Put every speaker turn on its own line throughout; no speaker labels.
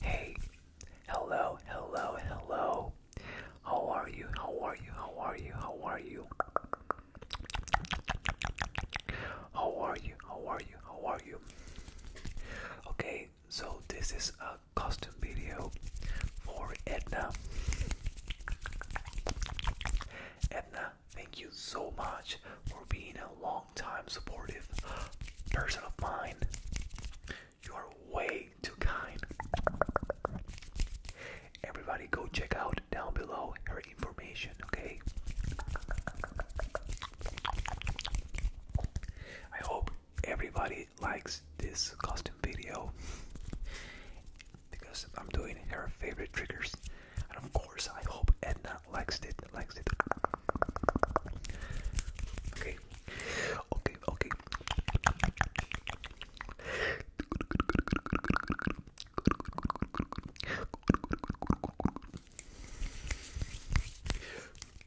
Hey, hello, hello, hello. How are you? How are you? How are you? How are you? How are you? How are you? How are you? Okay, so this is a custom video for Edna. Edna thank you so much for being a long time supportive person of mine. You are way too kind. Everybody, go check out down below her information, okay? I hope everybody likes this costume video because I'm doing her favorite triggers, and of course I hope Edna likes it. Likes it. Okay. Okay. Okay.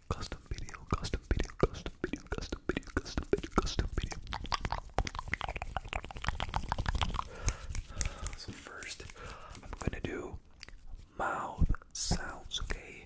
Custom video, custom video, custom video, custom video, custom video, custom video. So first, I'm gonna do mouth sounds, okay?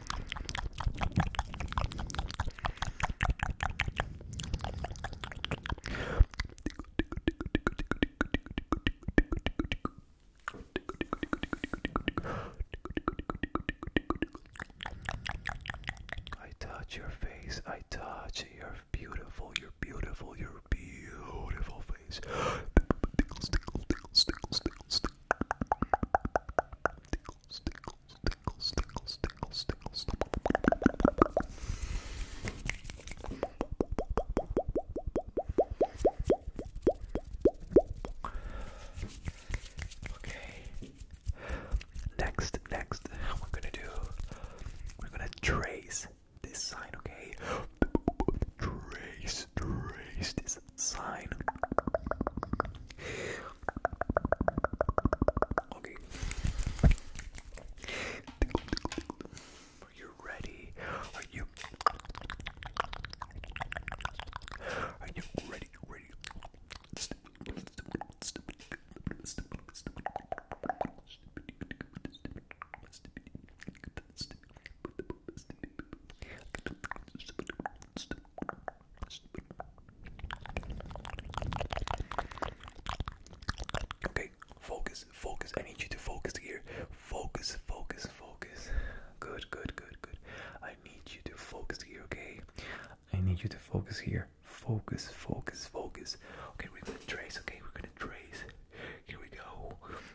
I touch your face, I touch your beautiful, your beautiful, your
beautiful face. Tickles, tickles, tickles, tickles, tickles, tickles.
Okay. Next, next, we're gonna do. We're gonna trace this sign. Okay. Trace is raise this sign. Okay.
Are you ready? Are you? Are you ready? Ready?
Okay, focus, focus. I need you to focus here. Focus, focus, focus. Good, good, good, good. I need you to focus here, okay? I need you to focus here. Focus, focus, focus. Okay, we're gonna trace, okay? We're gonna trace. Here we go.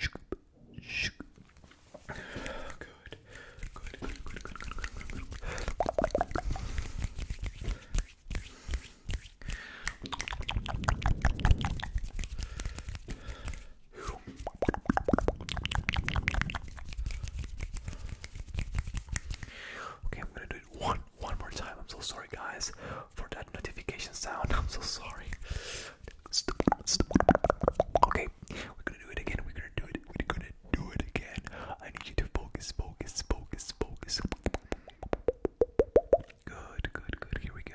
Good. Good, good, good, good, good, good, good, good.
Okay, I'm gonna do it one one more time. I'm so sorry, guys, for that notification sound. I'm so sorry. Okay, we're gonna do it again. We're gonna do it. We're gonna do it again. I need you to focus, focus, focus, focus. Good, good, good. Here we go.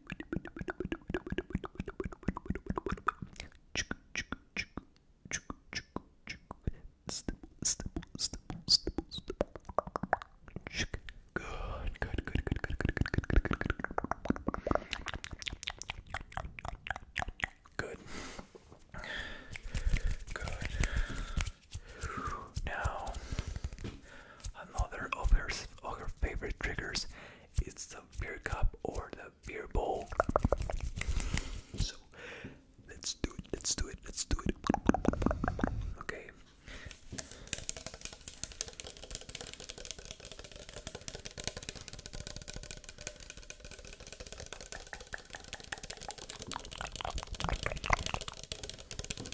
Good, good, good, good, good, good, good, good, good, good, good. Good.
Now, another of her favorite triggers it's the beer cup or the beer bowl. So let's do it, let's do it, let's do it. Okay.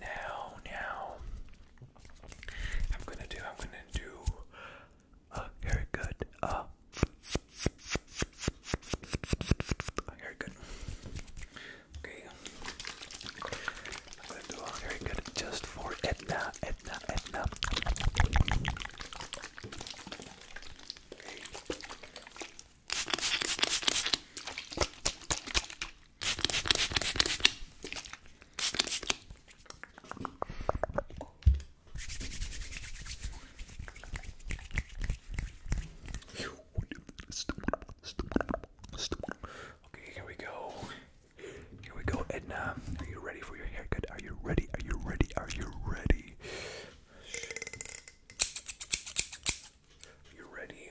Now, now, I'm gonna do, I'm gonna do a haircut. Uh, a haircut. Okay. I'm gonna do a haircut just for Edna, Edna, Edna. Okay. Okay, here we go. Here we go, Edna. Are you ready for your haircut? Are you ready? Are you ready? Are you ready? you ready?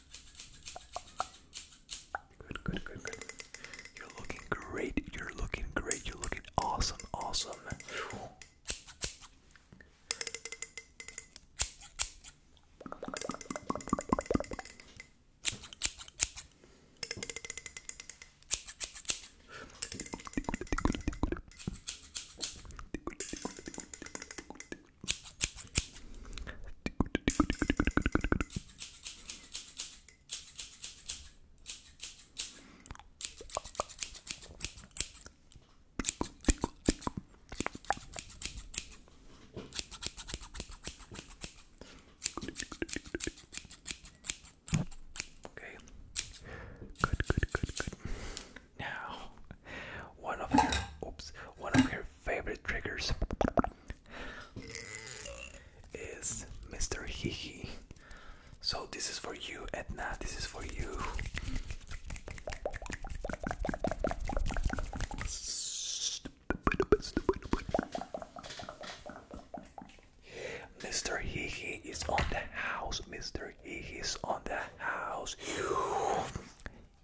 Good, good, good, good. You're looking great. You're looking great. You're looking awesome, awesome. Okay. Good, good, good, good. Now one of her oops one of her favorite triggers is Mr. Hihi. So this is for you, Edna. This is for you. Mr. Hihi is on the house. Mr. Hihi is on the house.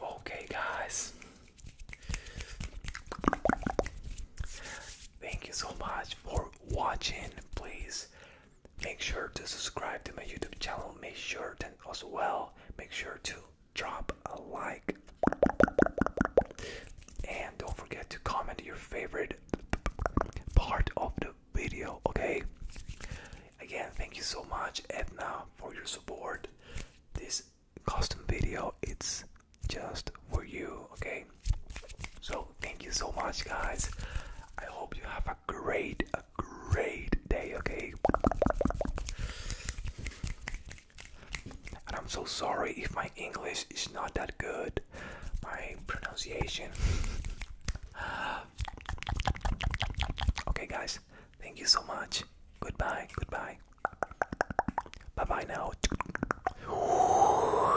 Okay, guys. Thank you so much for watching. Please Make sure to subscribe to my YouTube channel. Make sure to as well. Make sure to drop a like. And don't forget to comment your favorite part of the video, okay? Again, thank you so much Edna for your support. This custom video it's just for you, okay? So thank you so much, guys. I hope you have a great, a great day. Okay. And I'm so sorry if my English is not that good. My pronunciation. okay, guys. Thank you so much. Goodbye. Goodbye. Bye bye now.